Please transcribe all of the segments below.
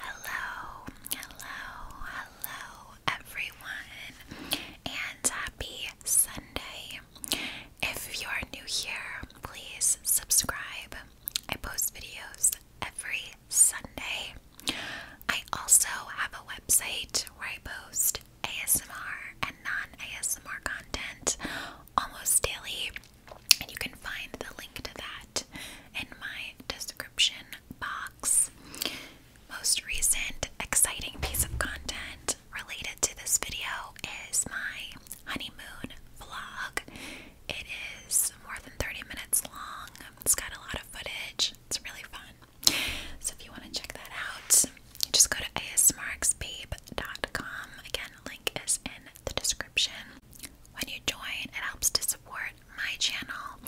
Hello, hello, hello, everyone, and happy Sunday. If you are new here, please subscribe. I post videos every Sunday. I also have a website where I post ASMR and non ASMR content almost daily. And you can find the link to that in my description box. Most recent exciting piece of content related to this video is my honeymoon vlog. It is more than 30 minutes long, it's got a lot of footage, it's really fun. So if you want to check that out, just go to asmarksbabe.com. Again, link is in the description. When you join, it helps to support my channel,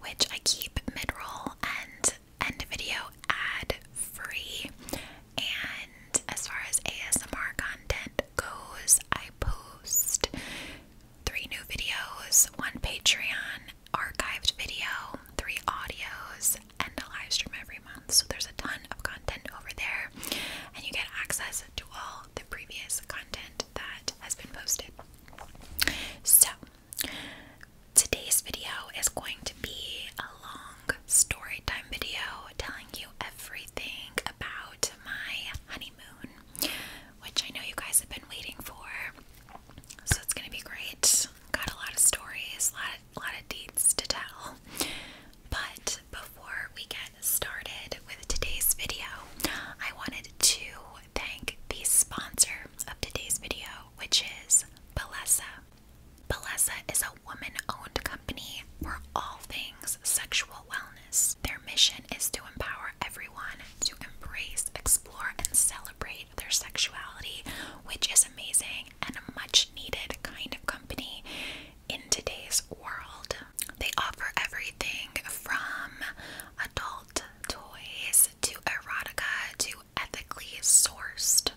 which I keep mid-roll and end video ad free. And as far as ASMR content goes, I post three new videos, one Patreon archived video, three audios, and a live stream every month. So there's a ton of content over there, and you get access to all the previous content that has been posted. So, today's video is going to be a long story time video telling you everything about my honeymoon, which I know you guys have been waiting for. So, it's going to be great. Got a lot of stories, a lot of, lot of deeds to tell. But before we get started with today's video, I wanted to thank the sponsor of today's video, which is Balesa. Balesa is a woman owned company for all things sexual wellness. Their mission is to empower everyone to embrace, explore, and celebrate their sexuality, which is amazing and a much needed kind of company in today's world. They offer everything from adult toys to erotica to ethically sourced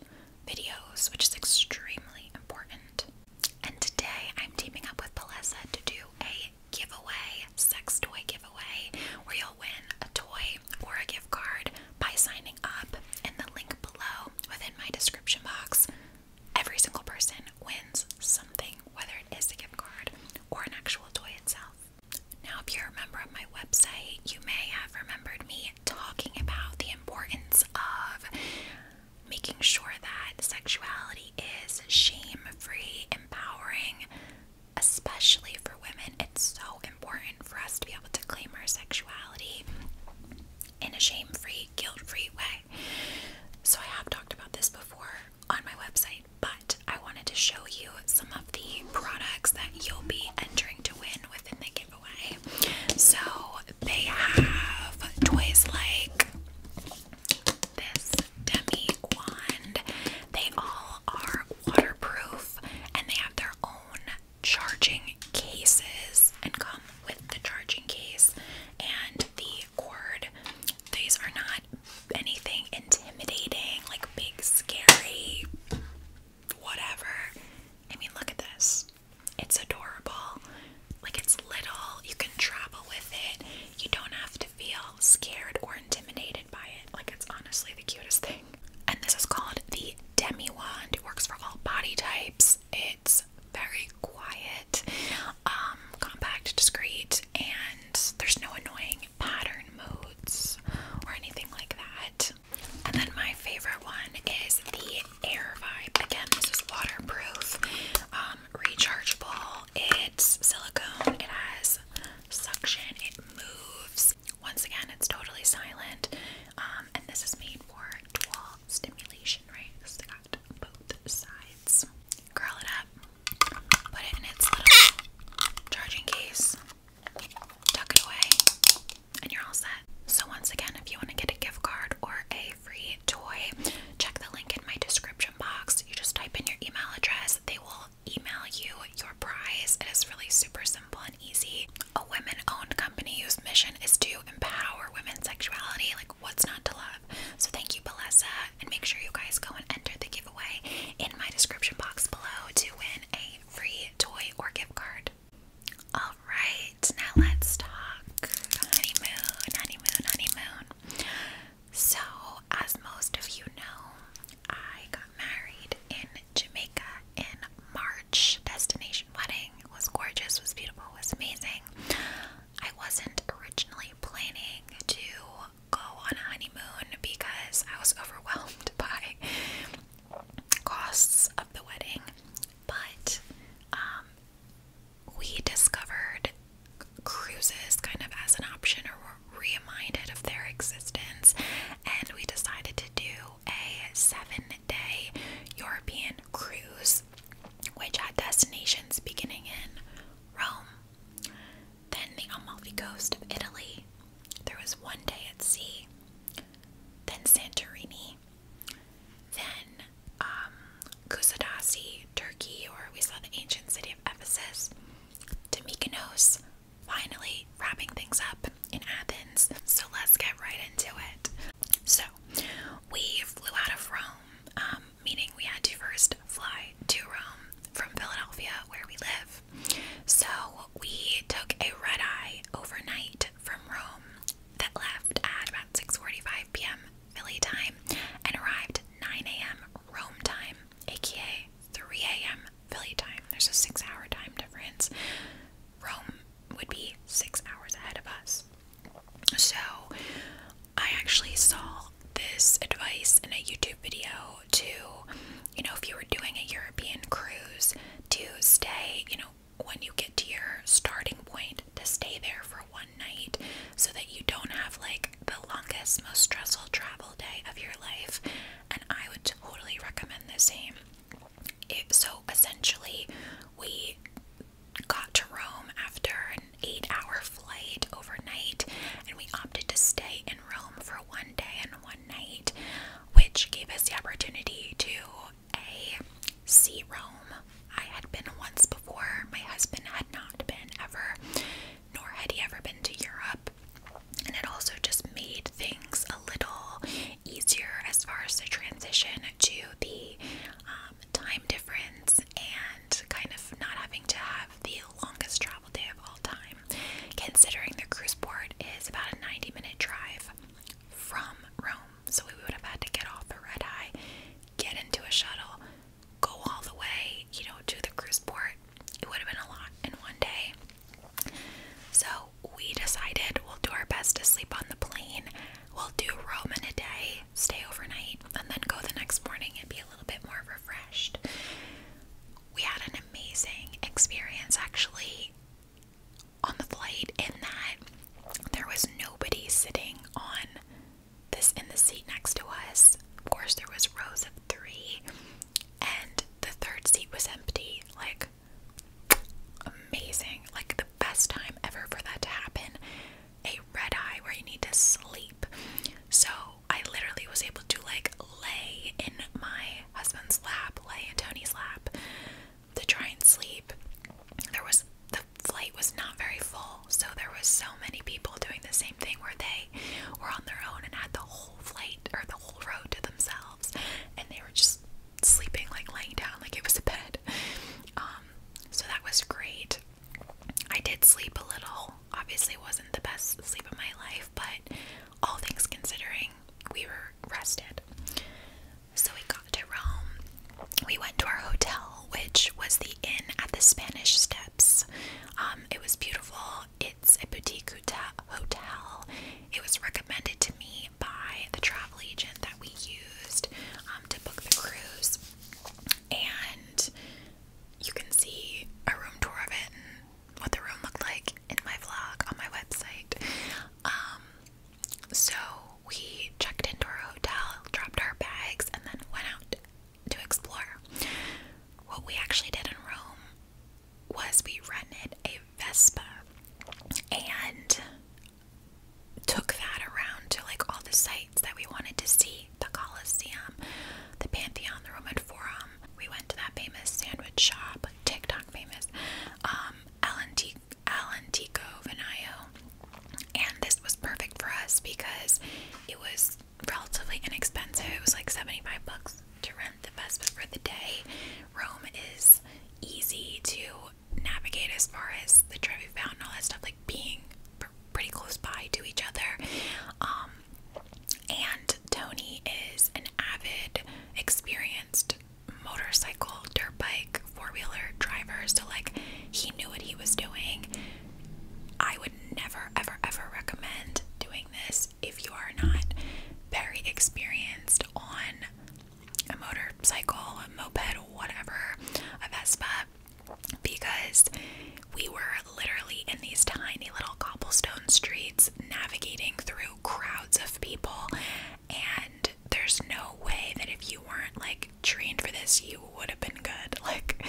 videos, which is extremely important. And today I'm teaming up with Palessa to do a giveaway, sex toy giveaway, where you'll win a toy or a gift card by signing up in the link below within my description box. Every single person wins something, whether it is a gift card or an actual toy itself. Now, if you're a member of my website, you may have remembered me talking about the importance of making sure that sexuality is shame free, empowering, especially for women. It's so important for us to be able to claim our sexuality in a shame free, guilt free way. So, I have talked about this before, on my website, but I wanted to show you some of the products that you'll be entering to win within the giveaway. So they have toys like this Demi Wand. They all are waterproof and they have their own charging cases and come with the charging case and the heavy cord. These are not anything intimidating, like big, scary, whatever. I mean, look at this. It's adorable. Like, it's little. You can travel with it. You don't have to feel scared or intimidated by it. Like, it's honestly the cutest thing. And this is called the Demi Wand. It works for all body types. It's very quiet. Um, compact, discreet, and there's no annoying pattern modes or anything like that. And then my favorite one is the Air Vibe. Again, this is waterproof, um, rechargeable. It's silicone. It has suction. It moves. Once again, it's totally silent. Um, and this is made for dual stimulation, right? Because they got both sides. Curl it up. Put it in its little charging case. Tuck it away. And you're all set. So once again, if you want to get a gift card or a free toy, check the link in my description box. You just type in your email address. They will email you your prize. It is really super simple and easy. A women-owned company whose mission is to empower women's sexuality. Like what's not to love? So thank you, Belessa, and make sure you guys go and enter the giveaway in my description box below to win a free toy or gift card. Alright, now let's talk honeymoon, honeymoon, honeymoon. So, as most of you know, I got married in Jamaica in March. Destination wedding was gorgeous, was beautiful, was amazing. I wasn't originally planning to go on a honeymoon because I was overwhelmed by costs of the wedding. But um, we discovered cruises kind of as an option or were reminded of their existence, and we decided to do a seven day European cruise, which had destinations beginning in Rome, then the Amalfi coast of Italy. There was one day at sea, then Santorini, then Kusadasi, um, Turkey, or we saw the ancient city of Ephesus, to Mykonos, finally wrapping things up in Athens. So let's get right into it. So we flew out of Rome. Um, meaning we had to first fly to Rome from Philadelphia, where we live. So we took a red eye overnight from Rome that left at about 6:45 p.m. Philly time and arrived 9 a.m. Rome time, aka 3 a.m. Philly time. There's a six-hour time difference. Rome would be six hours ahead of us. So I actually saw this advice in a YouTube video to, you know, if you were doing a European cruise, to stay, you know, when you get to your starting point, to stay there for one night so that you don't have like the longest, most stressful travel day of your life. And I would totally recommend the same. so essentially, we got to Rome after eight hour flight overnight, and we opted to stay in Rome for one day and one night, which gave us the opportunity to A, see Rome. I had been once before, my husband had not been ever, nor had he ever been to Europe. And it also just made things a little easier as far as the transition to the um, time difference and kind of not having to have the longest travel day of all time, considering the cruise port is about a 90 minute drive from Rome. So we would have had to get off the red eye, get into a shuttle, go all the way, you know, to the cruise port. It would have been a lot in one day. So we decided we'll do our best to sleep on the plane. We'll do Rome in a day, stay overnight, and then go the next morning and be a little bit more refreshed. We had an amazing experience actually on the flight in that there was nobody sitting on this in the seat next to us. Of course there was rows of 3 and the third seat was empty. Like amazing. Like the best time ever for that to happen a red eye where you need to sleep. So I literally was able to like lay in my husband's lap, lay in Tony's lap to try and sleep. There was the flight was not very full, so there was so many people doing the same thing where they were on their own and had the whole flight or the whole road to themselves and they were just sleeping like laying down like it was a bed. Um so that was great. I did sleep a little obviously wasn't the best sleep of my life, but all things considering, we were rested. So we got to Rome. We went to our hotel, which was the Inn at the Spanish Steps. Um, it was beautiful. It's a boutique hotel. It was recommended to me by the travel agent that we used um, to book the cruise. And you can see a room tour of it and what the room looked like in my vlog on my website. Um, so we checked into our hotel, dropped our bags, and then went out to explore. What we actually did in Rome was we rented a Vespa and took that around to like all the sites that we wanted to see the Colosseum, the Pantheon, the Roman Forum. We went to that famous sandwich shop, TikTok famous, um, Alantico Vinayo. And this was perfect for us because it was relatively inexpensive. It was like 75 bucks to rent the Vespa for the day. Rome is easy to navigate as far as the Trevi Fountain, all that stuff, like being pretty close by to each other. Um, and Tony is an avid, experienced motorcycle, dirt bike, four wheeler driver. So, like, he knew what he was doing. I would never, ever, ever recommend doing this if you are not very experienced on a motorcycle, a moped, whatever, a Vespa because we were literally in these tiny little cobblestone streets navigating through crowds of people and there's no way that if you weren't like trained for this you would have been good like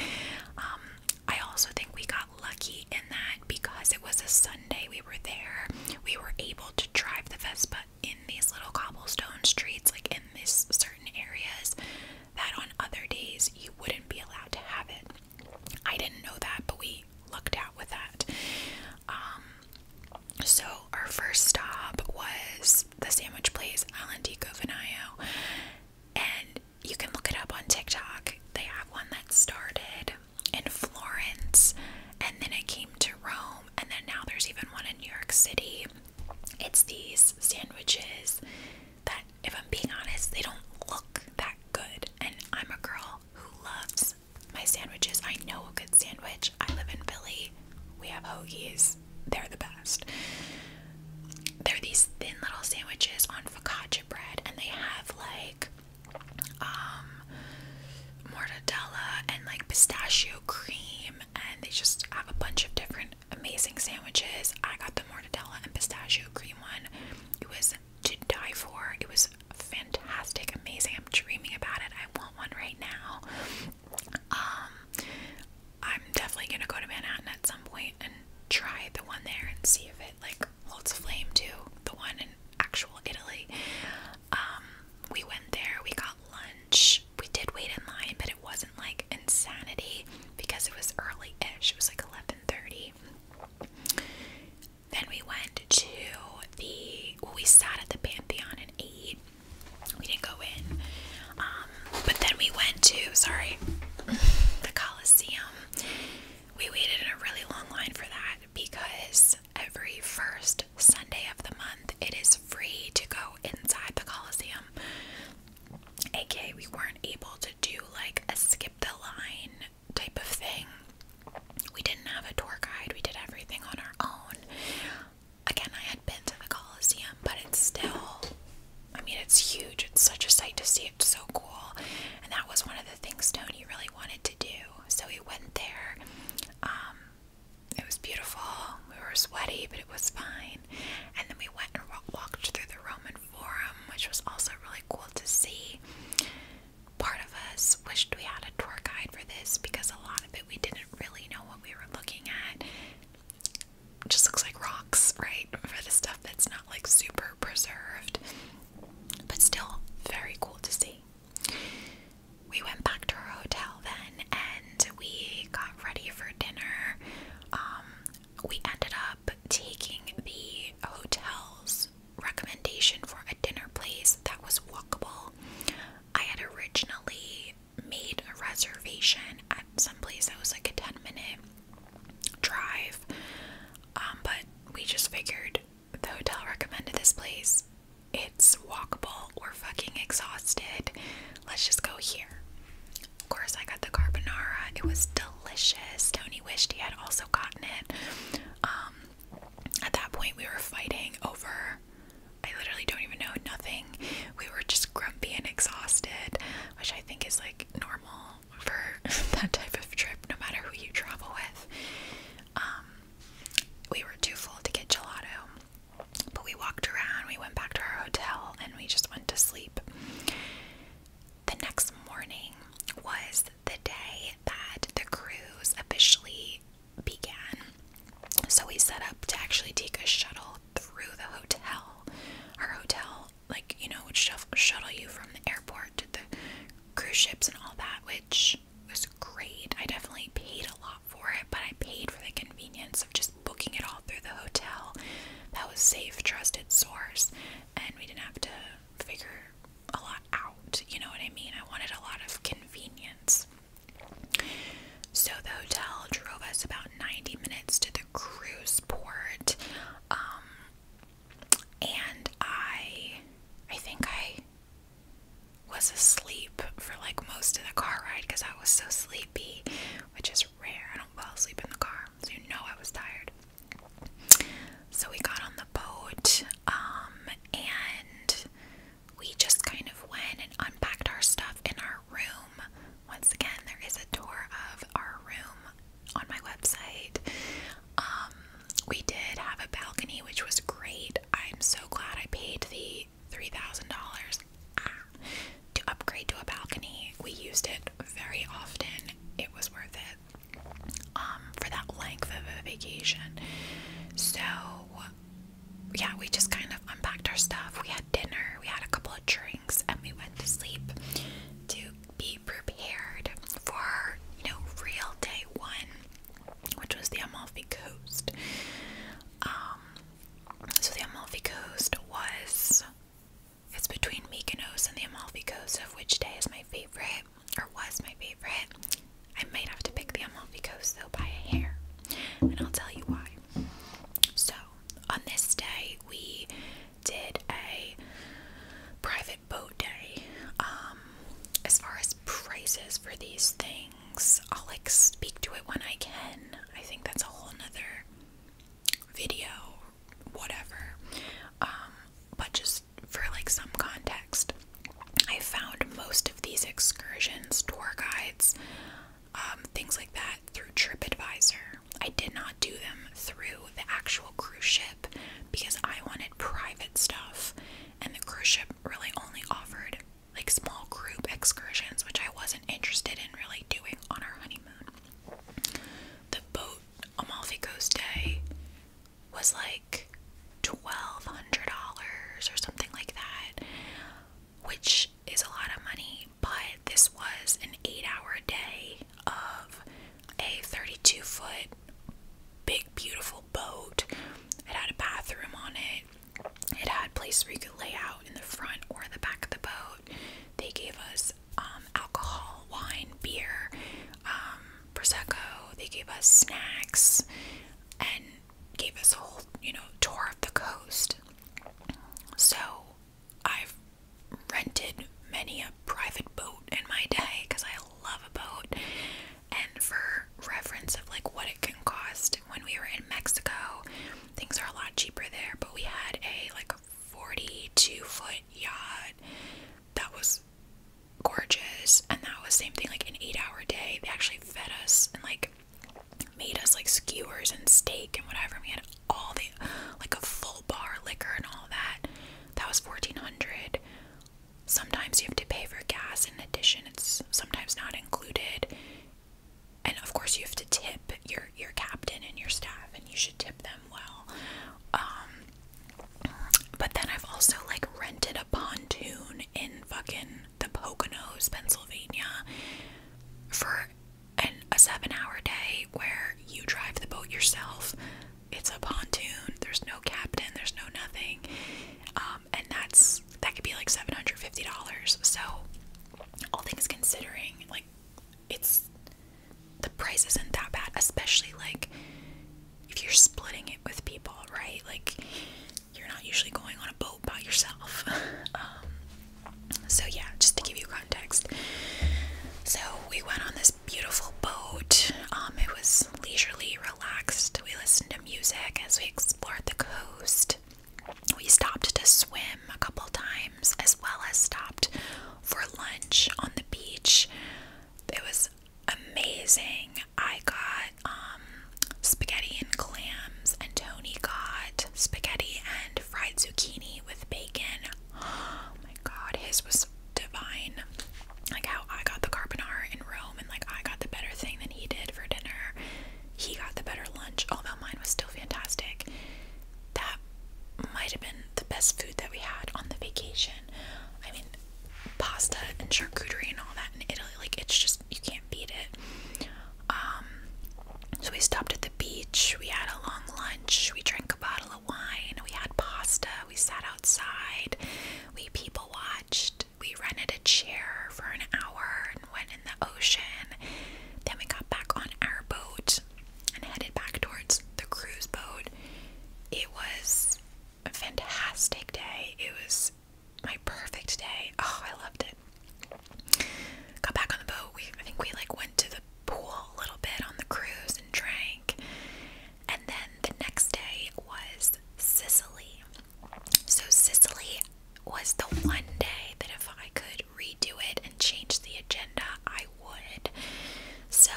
um, I also think we got lucky in that because it was a Sunday we were there we were able to drive the Vespa in these little cobblestone streets like in these certain areas that on other days you wouldn't be allowed to have it. I didn't know that, but we lucked out with that. Um, so our first stop was the sandwich place Alandico Vanayo, and you can look it up on TikTok. They have one that started in Florence, and then it came to Rome, and then now there's even one in New York City. It's these sandwiches that, if I'm being honest, they don't look that good. And I'm a girl who loves my sandwiches. I know a good sandwich. I live in Philly. We have hoagies. They're the best. They're these thin little sandwiches on focaccia bread, and they have like um mortadella and like pistachio cream, and they just have a bunch of different amazing sandwiches. I got the mortadella and pistachio green one. It was to die for. It was fantastic, amazing. I'm dreaming about it. I want one right now. Um, I'm definitely gonna go to Manhattan at some point and try the one there and see if it like holds a flame to the one in actual Italy. Um, we went there. We got lunch. We did wait in line, but it wasn't like insanity because it was early-ish. It was like 11 7:30. Then we went to the we sat at the Pantheon and ate. We didn't go in. Um, but then we went to sorry, the Coliseum. We waited in a really long line for that because every first Sunday of the month it is free to go inside the Coliseum aka we weren't able to do like a skip the line type of thing. We didn't have a tour guide, we did everything on our own. Again, I had been to the Coliseum, but it's still, I mean, it's huge. It's such a sight to see. It's so cool. And that was one of the things Tony really wanted to do. So we went there. Um, it was beautiful. We were sweaty, but it was fine. And then we went and walked through the Roman forum, which was also really cool to see. Part of us wished we had a tour guide for this because a lot of it we didn't really know what we were looking at. just looks like rocks, right? For the stuff that's not like super preserved, but still very cool to see. We went back to our hotel then and we got ready for dinner. Um, we ended up up taking the hotel's recommendation for a dinner place that was walkable. I had originally made a reservation at some place that was like a 10 minute drive, um, but we just figured the hotel recommended this place. It's walkable. We're fucking exhausted. Let's just go here. Of course, I got the carbonara. It was delicious. Tony wished he had also gotten it. Um, at that point, we were fighting over. I literally don't even know nothing. We were just grumpy and exhausted, which I think is like normal for that type of trip, no matter who you travel with. Um, we were too full to get gelato, but we walked around, we went back to our hotel, and we just went to sleep the next morning was the day that the cruise officially began. So we set up to actually take a shuttle through the hotel. Our hotel, like, you know, would shuttle you from the airport to the cruise ships and all that, which was great. I definitely paid a lot for it, but I paid for the convenience of just booking it all through the hotel. That was safe, trusted source and we didn't have to figure a lot out. You know what I mean? I wanted a lot of convenience. So the hotel drove us about 90 minutes to the cruise port. Um, and I I think I was asleep for like most of the car ride because I was so sleepy, which is rare. I don't fall asleep in the car, so you know I was tired. So we got on the boat, um, and we just kind of went and unpacked our stuff in our room. Once again, there is a tour of our room on my website. Um, we did have a balcony, which was great. I'm so glad I paid the $3,000 to upgrade to a balcony. We used it very often. It was worth it um, for that length of a vacation. So, yeah, we just kind of unpacked our stuff. We had dinner, we had a couple of drinks, and we went to sleep to be prepared for, you know, real day one, which was the Amalfi Coast. Um, so the Amalfi Coast was it's between Mykonos and the Amalfi Coast, of which day is my favorite, or was my favorite. I might have to pick the Amalfi Coast though by a hair, and I'll tell you why. So, on this day, we did a private boat day. Um, as far as prices for these things, I'll like speak to it when I can. I think that's a whole other video whatever. Um, but just for like some context, I found most of these excursions, tour guides, um, things like that through TripAdvisor. I did not do them through the actual cruise ship because I wanted private stuff, and the cruise ship really only offered like small group excursions, which I wasn't interested in really doing on our honeymoon. The boat Amalfi Coast Day was like $1,200 or something like that, which is a lot of money, but this was an eight hour day of a 32 foot big, beautiful boat. It had a bathroom on it. It had a place where you could lay out in the front or the back of the boat. They gave us us um, alcohol, wine, beer, um, prosecco. They gave us snacks and gave us a whole, you know, tour of the coast. So I've rented many a private boat in my day because I love a boat. And for reference of like what it can cost, when we were in Mexico, things are a lot cheaper there. But we had a like 42 foot yacht that was gorgeous and that was same thing like an eight hour day they actually fed us and like made us like skewers and steak and whatever we had all the like a full bar liquor and all that that was 1400 sometimes you have to pay for gas in addition it's sometimes not included and of course you have to tip your your captain and your staff, and you should tip them well. Um, but then I've also like rented a pontoon in fucking the Poconos, Pennsylvania, for a seven-hour day where you drive the boat yourself. It's a pontoon. There's no captain. There's no nothing. Um, and that's that could be like seven hundred fifty dollars. So, all things considering, like it's the price isn't that bad, especially like if you're splitting it with people, right? Like you're not usually going on a boat by yourself. Um, so yeah, just to give you context. So we went on this beautiful boat. Um, it was leisurely, relaxed. We listened to music as we explored the coast. We stopped to swim a couple times as well as stopped for lunch on the beach. It was amazing. I got um, spaghetti and clams, and Tony got spaghetti and fried zucchini with bacon. Oh my god, his was divine. Like how I got the carbonara in Rome, and like I got the better thing than he did for dinner. He got the better lunch, although mine was still fantastic that might have been the best food that we had on the vacation. I mean, pasta and charcuterie and all that in Italy, like it's just you can't beat it. Um, so we stopped at the beach. We had a long lunch. We drank a bottle of wine. We had pasta. We sat outside. We people watched. We rented a chair for an hour and went in the ocean. Then we got back on our boat and headed back towards the cruise boat. It was a fantastic day. It was my perfect day. Oh, I loved it. Got back on the boat. We I think we like went to the pool a little bit on the cruise and drank. And then the next day was Sicily. So Sicily was the one day that if I could redo it and change the agenda, I would. So,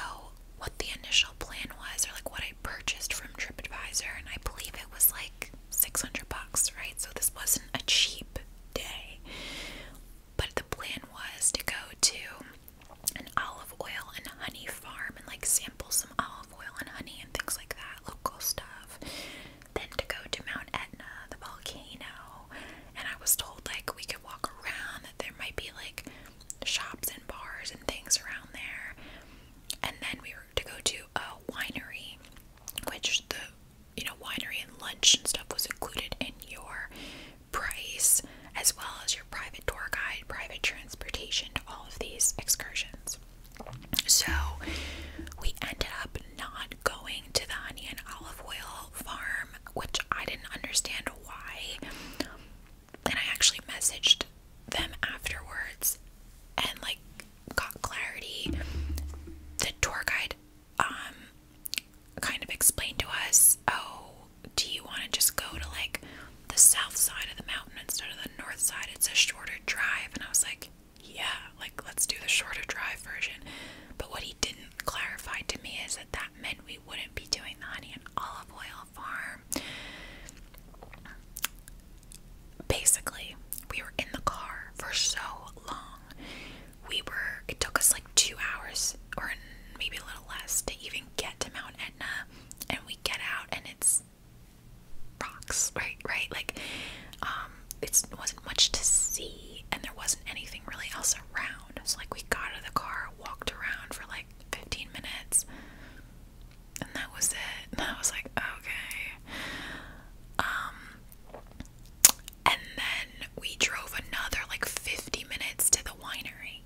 what the initial plan was, or like what I purchased from TripAdvisor, and I believe it was like 600 bucks, right? So, this wasn't a cheap day. But the plan was to go to an olive oil and honey farm and like sample some olive oil and honey and things like that, local stuff. Then to go to Mount Etna, the volcano, and I was told like we could walk around, that there might be like shops and bars and things around there. And then we were to go to a winery, which the you know, winery and lunch and stuff was included in your price, as well as your private tour guide, private transportation to all of these excursions. So we ended up not going to the honey and olive oil farm, which I didn't understand why. And I actually messaged them afterwards and like got clarity. The tour guide um kind of explained to us, "Oh, do you want to just go to like the south side of the mountain instead of the north side? It's a shorter drive." And I was like, "Yeah, like let's do the shorter drive version." But what he didn't clarified to me is that that meant we wouldn't be doing the honey and olive oil farm. Basically, we were in the car for so long. We were, it took us like two hours or maybe a little less to even get to Mount Etna. And we get out and it's rocks, right? Right? Like, um, it wasn't much to see and there wasn't anything really else around around. So like we got out of the car, walked around for like 15 minutes, and that was it. And I was like, okay. Um, and then we drove another like 50 minutes to the winery.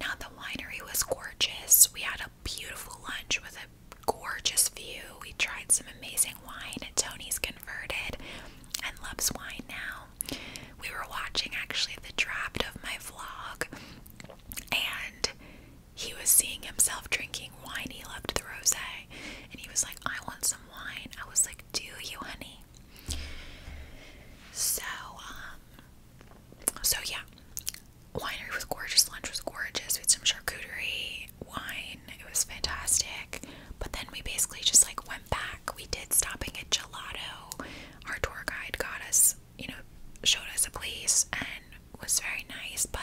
Now the winery was gorgeous. We had a beautiful lunch with a gorgeous view. We tried some amazing wine. Tony's converted and loves wine now. We were watching actually the draft of my vlog, and he was seeing himself drinking wine. He loved the rosé, and he was like, "I want some wine." I was like, "Do you, honey?" So, um, so yeah, winery was gorgeous. Lunch was gorgeous. We had some charcuterie, wine. It was fantastic. But then we basically just like went back. We did stopping at Gelato. Our tour guide got us, you know, showed us a place and was very nice, but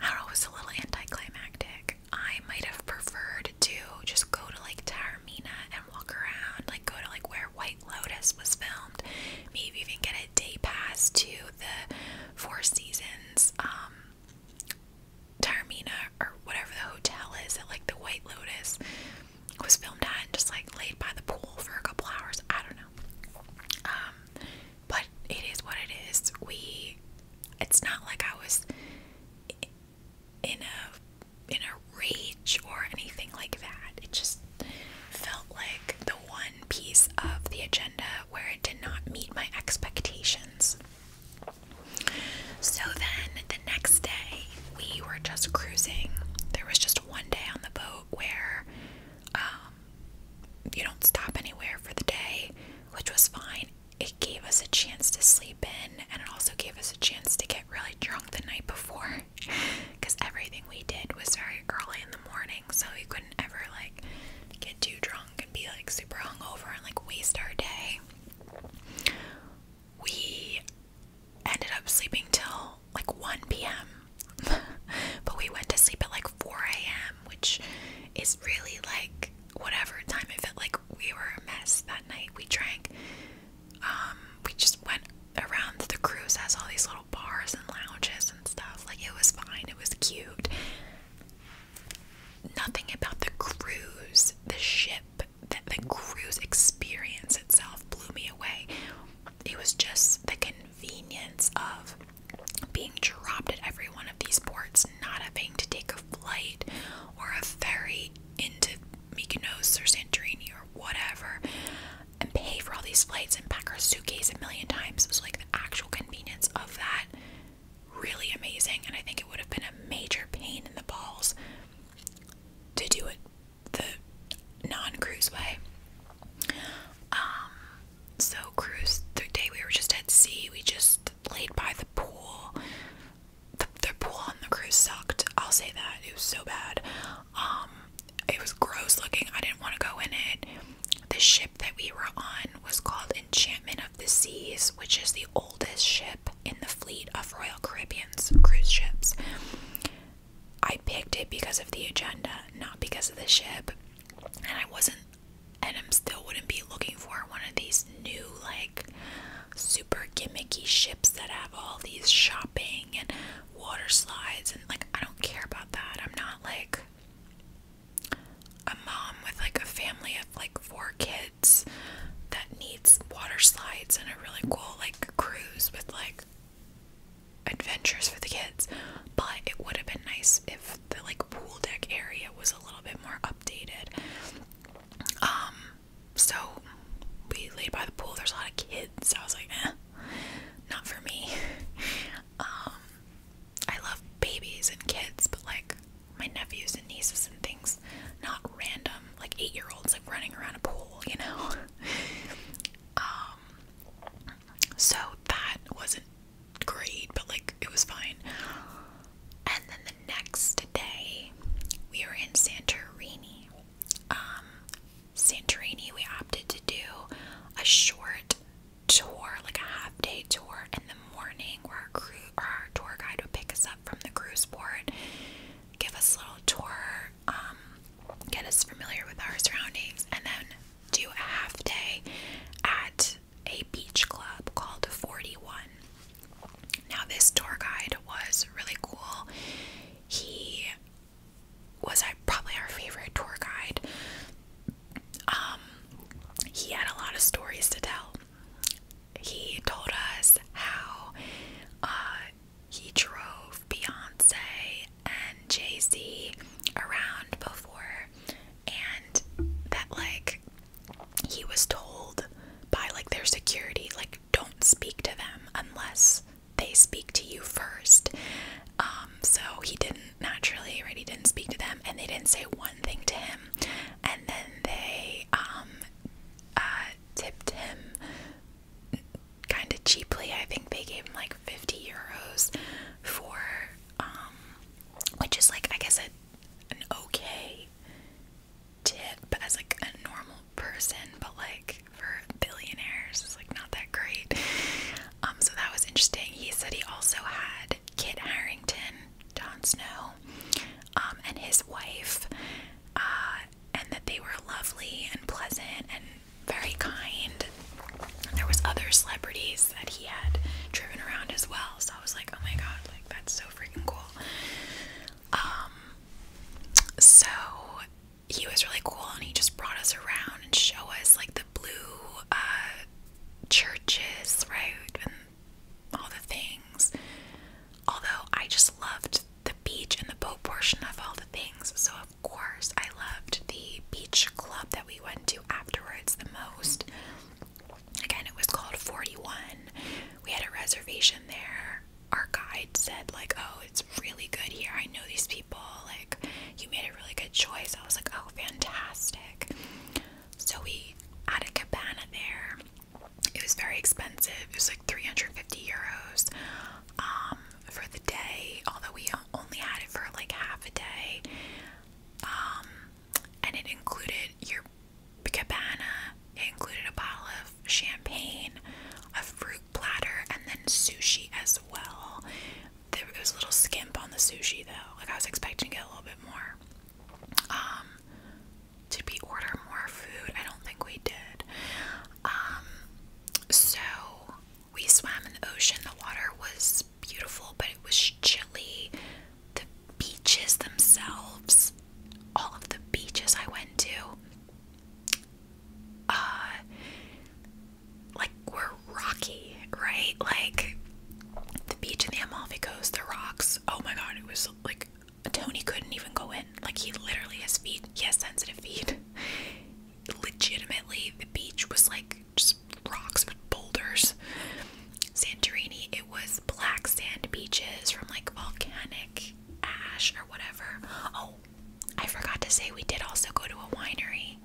I don't know, was a little anticlimactic. I might have preferred to just go to like Tarmina and walk around, like go to like where White Lotus was filmed, maybe even get a day pass to the Four Seasons um, Taormina or whatever the hotel is at, like the White Lotus was filmed on. just like laid by the pool for a couple hours. I don't know. Um, but it is what it is. We it's not like I was in a in a rage or anything like that. It just felt like the one piece of the agenda where it did not meet my expectations. So then the next day, we were just cruising. There was just one day on the boat where um, you don't stop anywhere for the day, which was fine. It gave us a chance to sleep in, and it also gave us a chance to get really drunk the night before because everything we did was very early in the morning, so we couldn't ever like get too drunk and be like super hungover and like waste our day we ended up sleeping till like 1 p.m. but we went to sleep at like 4 a.m., which is really like whatever time it felt like we were a mess that night. We drank, um, we just went around the cruise, has all these little bars and lounges and stuff. Like it was fine, it was cute. Nothing about the cruise, the ship that the, the cruise experience itself blew me away. It was just the convenience of being dropped at every one of these ports, not having to take a flight or a ferry into Mykonos or Santorini or whatever, and pay for all these flights and pack our suitcase a million times. It was like the actual convenience of that really amazing, and I think it would have been a major pain in the balls to do it the non-cruise way. Um, so cruise the day we were just at sea, we just laid by the pool. The, pool on the cruise sucked. I'll say that it was so bad. Um, it was gross looking. I didn't want to go in it. The ship that we were on was called Enchantment the Seas, which is the oldest ship in the fleet of Royal Caribbean's cruise ships. I picked it because of the agenda, not because of the ship. And I wasn't, and I'm still wouldn't be looking for one of these new, like, super gimmicky ships that have all these shopping and water slides. And, like, I don't care about that. I'm not, like, a mom with, like, a family of, like, four kids that needs water slides and a really cool like cruise with like adventures for the kids. But it would have been nice if the like pool deck area was a little bit more updated. Um, so we laid by the pool. There's a lot of kids. I was like, eh, not for me. um, I love babies and kids, but like my nephews and nieces and things, not random like eight year olds like running around a pool, you know. Um, so that wasn't great, but like it was fine. And then the next day, we were in Santorini. Um, Santorini, we opted to do a short tour, like a half day tour in the morning, where our crew our tour guide would pick us up from the cruise port, give us a little tour, um, get us familiar with our surroundings, and then do a half day at a beach club called 41. Now, this tour guide was really cool. He was uh, probably our favorite tour guide. Um, he had a lot of stories to tell he told us how uh, he drove Beyonce and Jay Z around before, and that, like, he was told by, like, their security, like, don't speak to them unless they speak to you first. Um, so he didn't naturally, right? He didn't speak to them, and they didn't say one thing to him. And then they, um, uh, tipped him kind of cheaply. I think they gave him like 50 euros for, um, which is like, I guess, a, an okay tip as like a normal person, but like for billionaires, it's like not that great. Um, so that was interesting. He said he also had Kit Harrington, Jon Snow, um, and his wife uh, and that they were lovely and pleasant and very kind. There was other celebrities that he had driven around as well, so I was like, oh my god, like that's so freaking cool. Um, so he was really cool, and he just brought us around and show us like the blue uh, churches, right, and all the things. Although I just loved the beach and the boat portion of all the things. So, of course, I loved the beach club that we went to afterwards the most. Again, it was called 41. We had a reservation there. Our guide said, like, oh, it's really good here. I know these people. Like, you made a really good choice. I was like, oh, fantastic. So we had a cabana there. It was very expensive. It was like 350 euros um, for the day, although we only had it for like half a day. Um, and it included your cabana, it included a bottle of champagne, a fruit platter, and then sushi as well. There was a little skimp on the sushi though. Like I was expecting it a little bit more. Um, to be order more food? I don't think we did. Um, so we swam in the ocean. The water was beautiful, but it was chilly. The beaches themselves, all of the beaches I went to, uh, like were rocky, right? Like the beach in the Amalfi Coast, the rocks. Oh my god, it was like Tony couldn't even go in. Like he literally has feet. He has sensitive feet. Legitimately, the beach was like just rocks with boulders. Santorini, it was black sand beaches from like volcanic ash or whatever. Oh, I forgot to say we did also go to a winery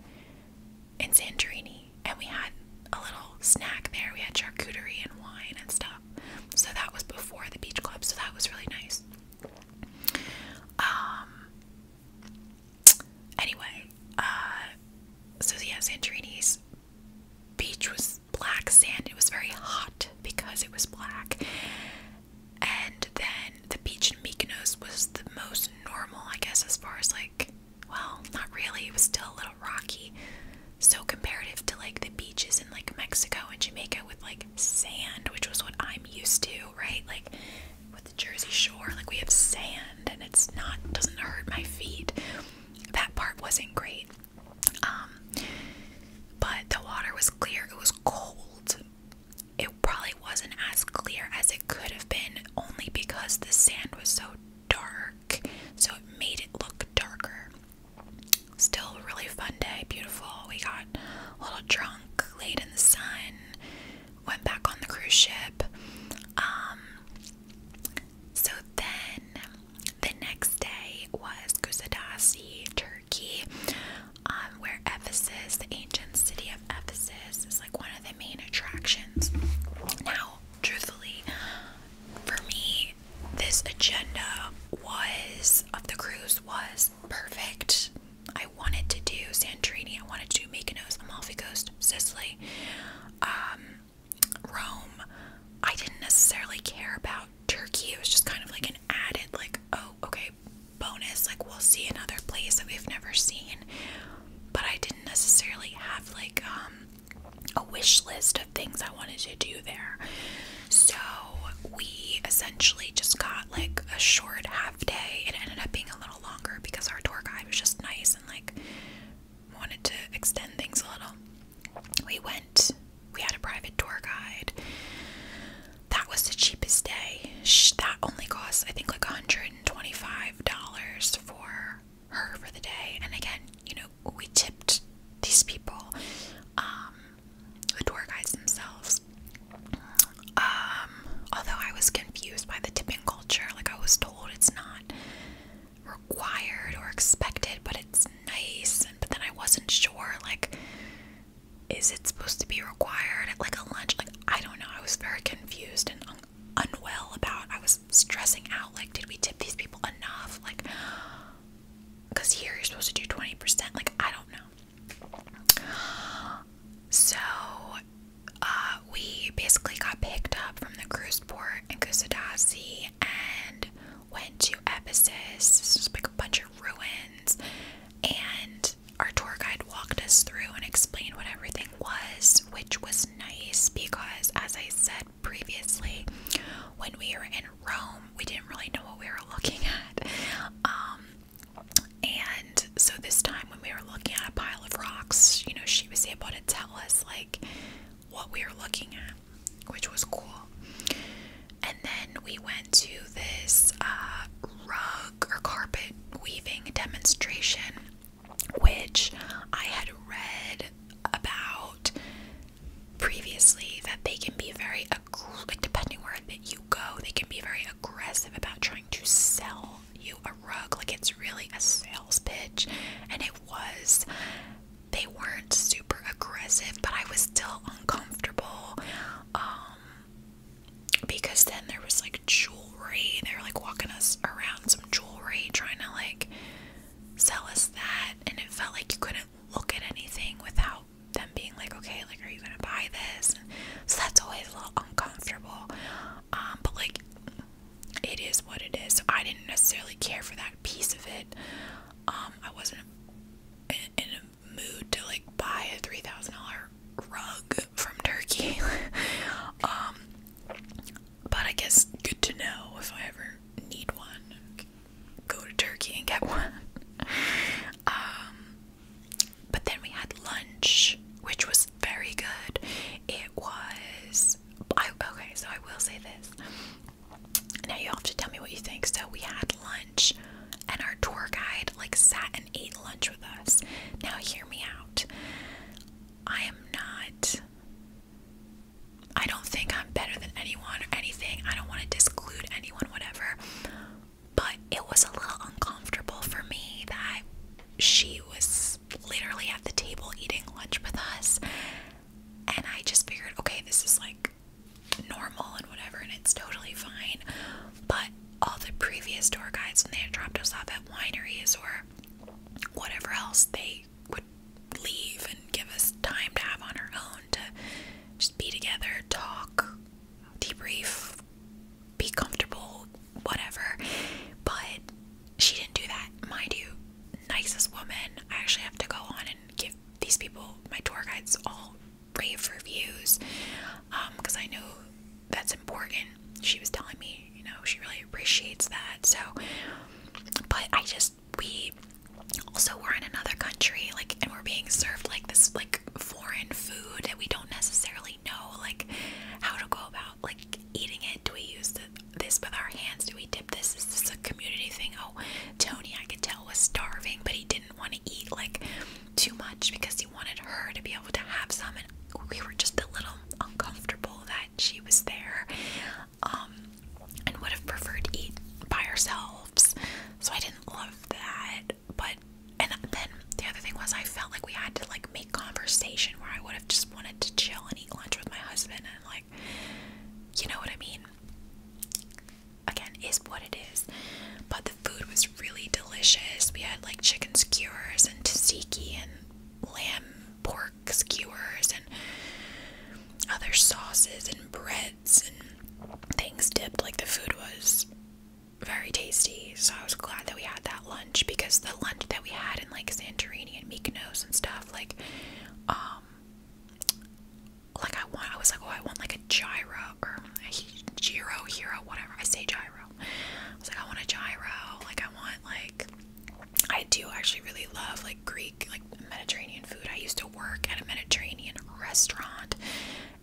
in Santorini and we had a little snack there. We had charcuterie and wine and stuff. So that was before the Beach Club, so that was really nice. Um anyway, uh so yeah, Santorini's beach was black sand. It was very hot because it was black. And then the beach in Mykonos was the most normal, I guess, as far as like well, not really. It was still a little rocky so comparative to like the beaches in like Mexico and Jamaica with like sand, which was what I'm used to, right? Like with the Jersey Shore, like we have sand and it's not doesn't hurt my feet. That part wasn't great. Um but the water was clear. It was cold. It probably wasn't as clear as it could have been only because the sand was so dark. So it made it look darker. Still a really fun day, beautiful. We got a little drunk, laid in the sun, went back on the cruise ship. Um, so then the next day was Kusadasi, Turkey, um, where Ephesus, the ancient city of Ephesus, is like one of the main attractions. Now, truthfully, for me, this agenda was of the cruise was perfect. I wanted to do Santorini, I wanted to make a Mykonos, Amalfi Coast, Sicily, um, Rome. I didn't necessarily care about Turkey. It was just kind of like an added, like, oh, okay, bonus. Like, we'll see another place that we've never seen. But I didn't necessarily have like um, a wish list things I wanted to do there. So we essentially just got like a short half day. It ended up being a little longer because our tour guide was just nice and like wanted to extend things a little. We went, we had a private tour guide. That was the cheapest day. That only cost, I think, like $125 for her for the day. And again, you know, we tipped these people, um, the tour guides themselves. Um, although I was confused by the tipping culture, like I was told it's not required or expected, but it's nice. but then I wasn't sure, like, is it supposed to be required at like a lunch? Like, I don't know. I was very confused and unwell about. I was stressing out. Like, did we tip these people enough? Like, because here you're supposed to do 20%. Like, I don't know. So, uh, we basically got picked up from the cruise port in Kusadasi and went to Ephesus. just was like a bunch of ruins. And our tour guide walked us through and explained what everything was, which was nice because, as I said, previously when we were in Rome. We didn't really know what we were looking at. Um, and so this time when we were looking at a pile of rocks, you know, she was able to tell us like what we were looking at, which was cool. And then we went to this uh, rug or carpet weaving demonstration, which I had read about previously that they can be very like depending where you go, they can be very aggressive about trying to sell you a rug. Like it's really a sales pitch, and it was. They weren't super aggressive, but I was still uncomfortable. Um, because then there was like jewelry. They were like walking us around some jewelry, trying to like sell us that, and it felt like you couldn't look at anything without them being like, okay, like, are you gonna buy this? so that's always a little uncomfortable. Um, but like, it is what it is. So I didn't necessarily care for that piece of it. Um, I wasn't in, in a mood to like buy a three thousand dollar rug from Turkey. um, but I guess good to know if I ever need one go to Turkey and get one. Um, but then we had lunch, which was very good. It was. I, okay, so I will say this. Now you have to tell me what you think. So we had lunch, and our tour guide like sat and ate lunch with us. Now hear me out. I am not I don't think I'm better than anyone or anything. I don't want to disclude anyone, whatever. But it was a little uncomfortable for me that she was literally at the table eating lunch with us. And I just figured, okay, this is like normal and whatever, and it's totally fine. But all the previous tour guides, when they had dropped us off at wineries or whatever else, they would leave and give us time to have on our own to just be together, talk, debrief, be comfortable, whatever. But she didn't do that. Mind you, nicest woman. I actually have to go on and give these people, my tour guides, all rave reviews because um, I know that's important. She was telling me, you know, she really appreciates that. So, but I just we also we're in another country like and we're being served like this like foreign food that we don't necessarily know like how to go about like eating it do we use this with our hands do we dip this is this a community thing oh tony i could tell was starving but he didn't want to eat like too much because he wanted her to be able to have some and we were just a little uncomfortable that she was there um, and would have preferred to eat by ourselves. So I didn't love that. But and then the other thing was I felt like we had to like make conversation where I would have just wanted to chill and eat lunch with my husband and like you know what I mean. Again, is what it is. But the food was really delicious. We had like chicken skewers and tzatziki and lamb pork skewers and other sauces and bread and things dipped. Like the food was very tasty. So I was glad that we had that lunch because the lunch that we had in like Santorini and Mykonos and stuff, like, um, like I want, I was like, oh, I want like a gyro or a gyro hero, whatever. I say gyro. I was like, I want a gyro. Like I want like, I do actually really love like Greek like Mediterranean food. I used to work at a Mediterranean restaurant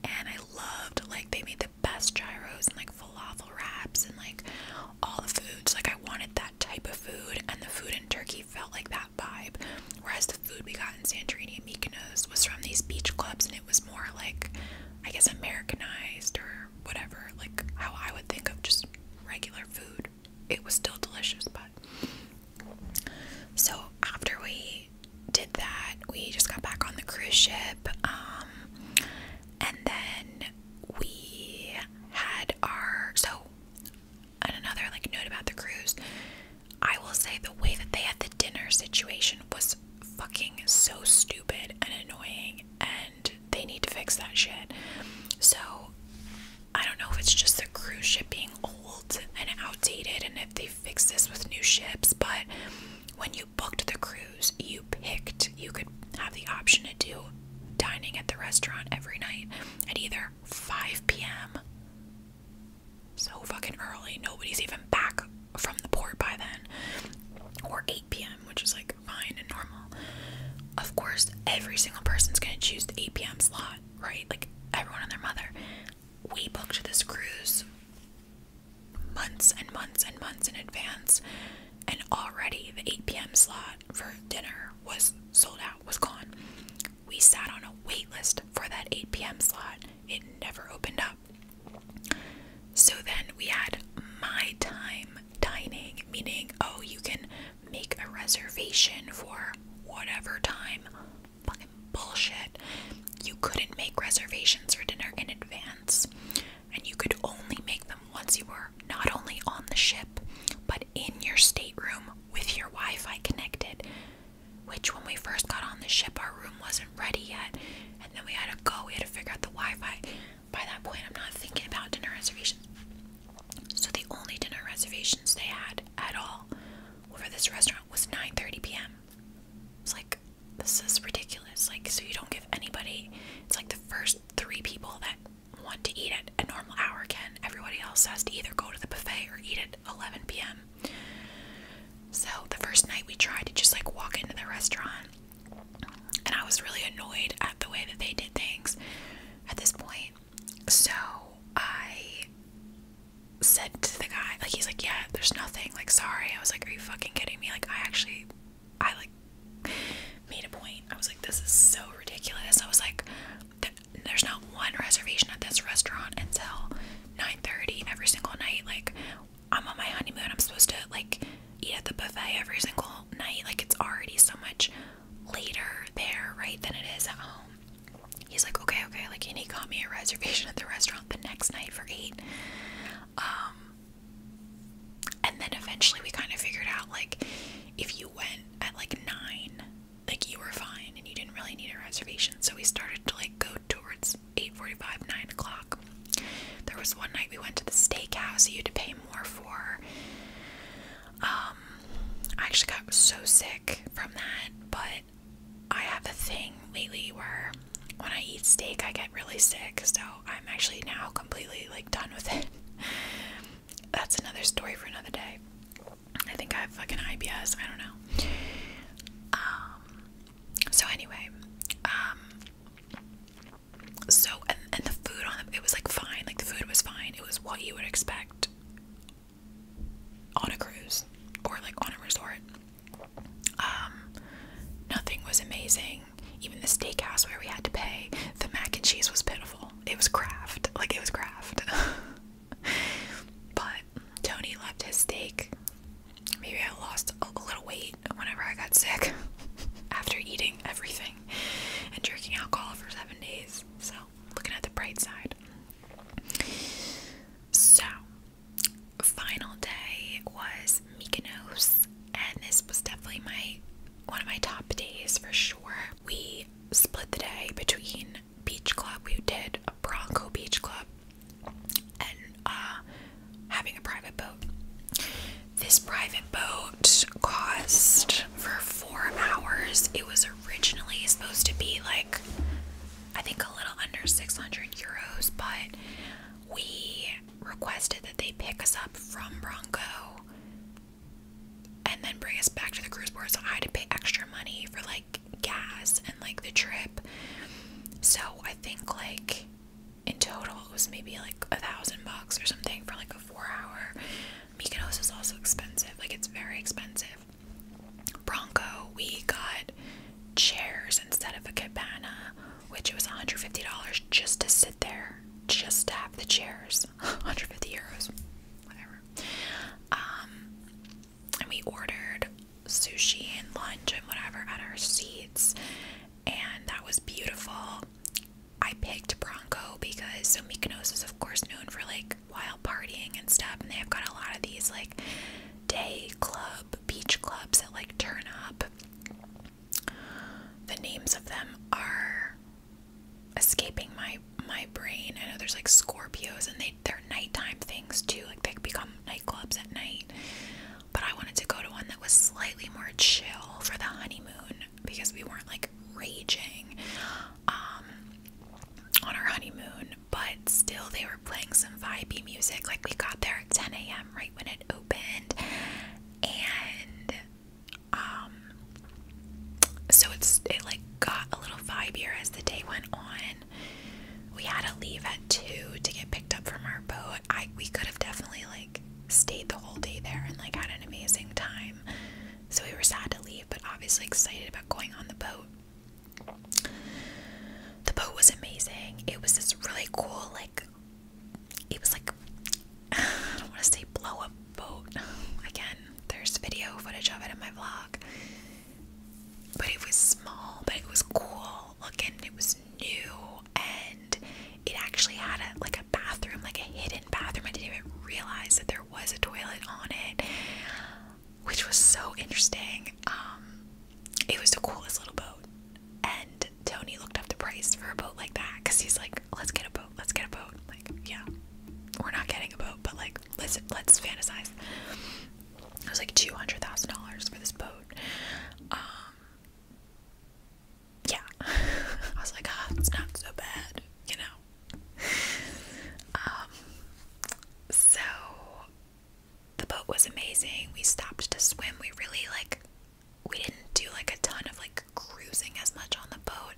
and I loved like they made the best gyros and like falafel wraps and like all the foods. Like I wanted that type of food and the food in Turkey felt like that vibe. Whereas the food we got in Santorini and Mykonos was from these beach clubs and it was more like I guess Americanized or whatever, like how I would think of just regular food. It was still delicious, but so after we did that, we just got back on the cruise ship, um, and then we had our so. And another like note about the cruise, I will say the way that they had the dinner situation was fucking so stupid and annoying, and they need to fix that shit. So I don't know if it's just the cruise ship being old and outdated and if they fix this with new ships, but when you booked the cruise, you picked, you could have the option to do dining at the restaurant every night at either 5 p.m. So fucking early, nobody's even back from the port by then, or 8 p.m., which is like fine and normal. Of course, every single person's gonna choose the 8 p.m. slot, right? Like everyone and their mother we booked this cruise months and months and months in advance, and already the 8 p.m. slot for dinner was sold out, was gone. We sat on a wait list for that 8 p.m. slot, it never opened up. So then we had my time dining, meaning, oh, you can make a reservation for whatever time bullshit. You couldn't make reservations for dinner in advance, and you could only make them once you were not only on the ship, but in your stateroom with your Wi Fi connected. Which, when we first got on the ship, our room wasn't ready yet, and then we had to go, we had to figure out the Wi Fi. By that point, I'm not thinking about dinner reservations. So, the only dinner reservations they had at all for this restaurant was 9:30 p.m. It's like this is ridiculous. Like so you don't give anybody. It's like the first three people that want to eat at a normal hour can. Everybody else has to either go to the buffet or eat at 11 p.m. So the first night we tried to just like walk into the restaurant, and I was really annoyed at the way that they did things. At this point, so I said to the guy, like, he's like, yeah, there's nothing. Like, sorry. I was like, are you fucking kidding me? Like, I actually, I like made a point. I was like, this is so ridiculous. I was like, there's not one reservation at this restaurant until 9:30 every single night. Like, I'm on my honeymoon. I'm supposed to like eat at the buffet every single night. Like, it's already so much later there, right, than it is at home he's like, okay, okay, like, and he got me a reservation at the restaurant the next night for eight. Um, and then eventually we kind of figured out, like, if you went at like nine, like, you were fine and you didn't really need a reservation. So we started to like go towards 8:45, 9 o'clock. There was one night we went to the steakhouse, you had to pay more for. Um, I actually got so sick from that, but I have a thing lately where when I eat steak, I get really sick, so I'm actually now completely like done with it. That's another story for another day. I think I have fucking IBS. I don't know. Um. So anyway, um. So and and the food on it was like fine. Like the food was fine. It was what you would expect on a cruise or like on a resort. Um, nothing was amazing. Even the steakhouse where we had to pay, the mac and cheese was pitiful. It was craft, like it was craft. but Tony left his steak. Maybe I lost a little weight whenever I got sick after eating everything and drinking alcohol for seven days. So looking at the bright side. So, final day was Mykonos, and this was definitely my one of my top days for sure. We split the day between beach club. We did a Bronco beach club and uh, having a private boat. This private boat cost for four hours. It was a originally supposed to be like I think a little under 600 euros, but we requested that they pick us up from Bronco and then bring us back to the cruise port. So I had to pay extra money for like gas and like the trip. So I think like in total it was maybe like a thousand bucks or something for like a four hour. Mykonos is also expensive, like it's very expensive. Bronco, we got chairs instead of a cabana, which was $150 just to sit there, just to have the chairs. 150 euros, whatever. Um, and we ordered sushi and lunch and whatever at our seats, and that was beautiful. I picked Bronco because so Mykonos is, of course, known for like while partying and stuff. And they've got a lot of these like day club, beach clubs that like turn up. The names of them are escaping my my brain. I know there's like Scorpios and they they're nighttime things too. Like they become nightclubs at night. But I wanted to go to one that was slightly more chill for the honeymoon because we weren't like raging um, on our honeymoon, but still they were playing some vibey music. Like we got there at 10 a.m. right when it opened, and um, so it's it like got a little vibier as the day went on. We had to leave at two to get picked up from our boat. I we could have definitely like stayed the whole day there and like had an amazing time. So we were sad to leave, but obviously excited about going on the boat. The boat was amazing. It was this really cool, like, it was like, I don't want to say blow up boat. Again, there's video footage of it in my vlog. But it was small, but it was cool looking. It was new, and it actually had a like a bathroom, like a hidden bathroom. I didn't even realize that there was a toilet on it which was so interesting. Um, it was the coolest little boat, and Tony looked up the price for a boat like that because he's like, "Let's get a boat. Let's get a boat." Like, yeah, we're not getting a boat, but like, let's let's fantasize. It was like two hundred thousand dollars for this boat. Um, yeah, I was like, ah, it's not so bad, you know. Um, so the boat was amazing. We stopped to swim. We really like we didn't do like a ton of like cruising as much on the boat.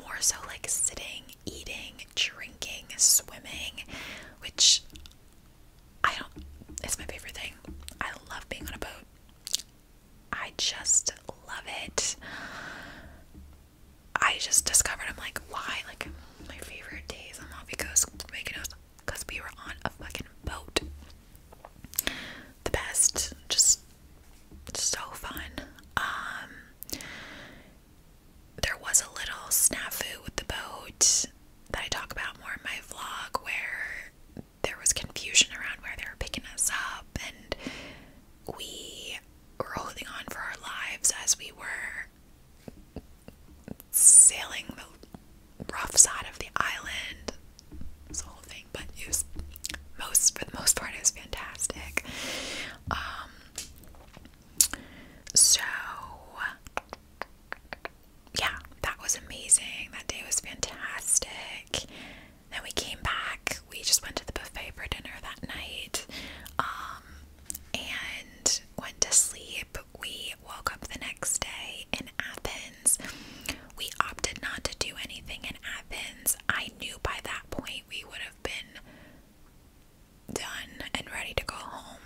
More so like sitting, eating, drinking, swimming, which I don't it's my favorite thing. I love being on a boat. I just love it. I just discovered I'm like, why? Like my favorite days on Mavico's Mykonos because we were on a fucking boat. The best, just so fun. Um, there was a little snafu with the boat that I talk about more in my vlog, where there was confusion around where they were picking us up, and we holding on for our lives as we were sailing the rough side of the island. This whole thing, but it was most for the most part, it was fantastic. Um, so yeah, that was amazing. That day was fantastic. Then we came back. We just went to the buffet for dinner that night. Um, and went to sleep. We woke up the next day in Athens. We opted not to do anything in Athens. I knew by that point we would have been done and ready to go home.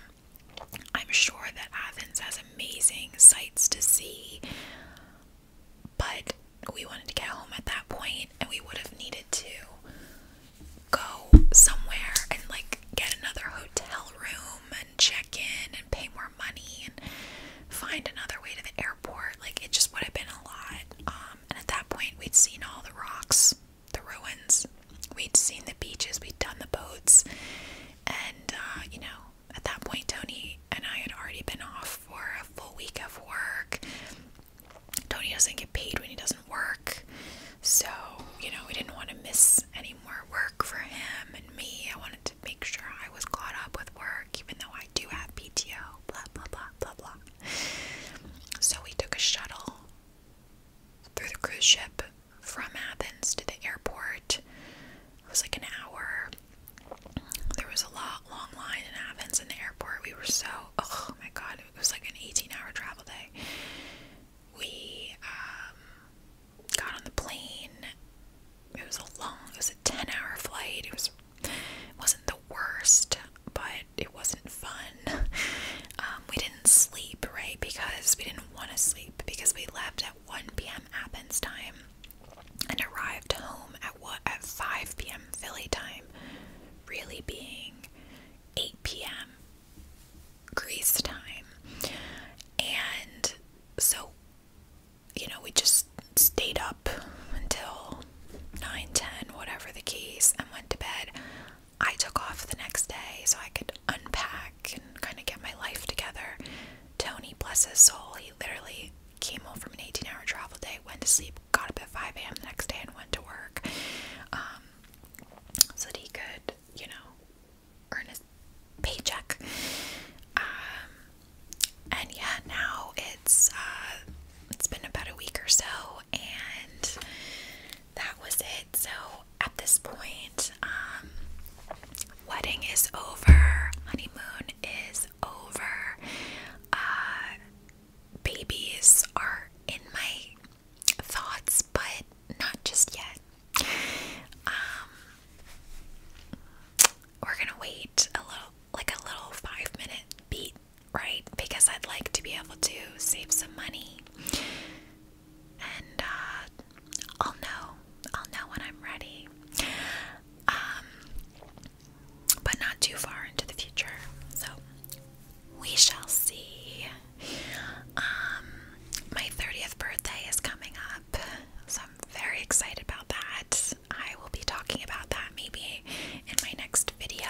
I'm sure that Athens has amazing sights to see, but we wanted to get home at that point and we would have needed to go somewhere and like get another hotel room and check in and pay more money and find another way to the airport. Like it just would have been a lot. Um, and at that point, we'd seen all the rocks, the ruins, we'd seen the beaches, we'd done the boats, and uh, you know, at that point, Tony and I had already been off for a full week of work. Tony doesn't get paid when he doesn't work. So, you know, we didn't want to miss any more work for him and me. I wanted to make sure I was caught up with work, even though I do have PTO, blah, blah, blah, blah, blah. So we took a shuttle through the cruise ship from Athens to the airport. It was like an hour. There was a lot long line in Athens and the airport. We were so oh my god, it was like an 18 hour travel day. We um, got on the plane. It was a long, it was a 10 hour flight. It was, wasn't the worst, but it wasn't fun. Um, we didn't sleep, right? Because we didn't want to sleep because we left at 1 p.m. Athens time and arrived home at what at 5 p.m. Philly time, really being 8 p.m. Grease time. And so, you know, we just stayed up until 9, 10, whatever the case, and went to bed. I took off the next day so I could unpack and kind of get my life together. Tony, bless his soul, he literally came home from an 18 hour travel day, went to sleep, got up at 5 a.m. the next day, and went to work. Um, so that he could, you know, earn his paycheck. Um, and yeah, now it's uh, it's been about a week or so, and that was it. So at this point, um, wedding is over, honeymoon is over. Uh, babies are in my thoughts, but not just yet. Um, we're gonna wait a little, like a little five minute beat, right? Because I'd like to be able to save some money, and uh, I'll know, I'll know when I'm ready. Um, but not too far into the future. So we shall see. Um, my 30th birthday is coming up, so I'm very excited about that. I will be talking about that maybe in my next video.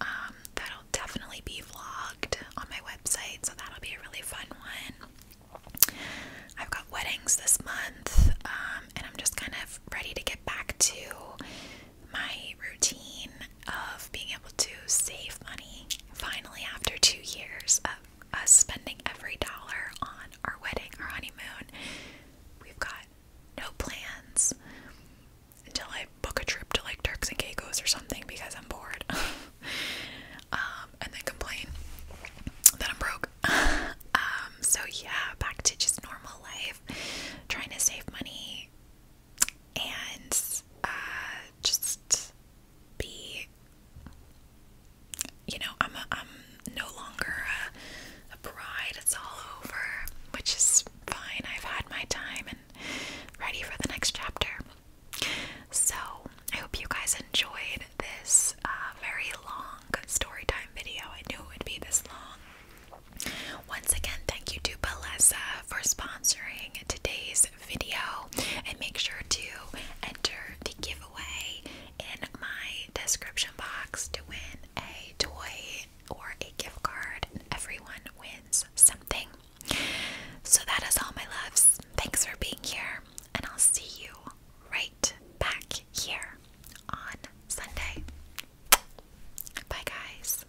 Um, that'll definitely be vlogged on my website, so that'll be a really fun one. I've got weddings this month, um, and I'm just kind of ready to get back to my routine of being able to save money finally after two years of us spending every dollar on our wedding, our honeymoon. We've got no plans until I book a trip to like Turks and Caicos or something because I'm bored. Um, and then complain that I'm broke. Um, so yeah, back to just normal life, trying to save money and uh, just be you know I'm a, I'm no longer a, bride it's all over which is fine I've had my time and ready for the next chapter so I hope you guys enjoyed this uh, very long story time video I knew it would be this long once again, thank you to Balesa for sponsoring today's video. And make sure to enter the giveaway in my description box to win a toy or a gift card. Everyone wins something. So that is all, my loves. Thanks for being here, and I'll see you right back here on Sunday. Bye, guys.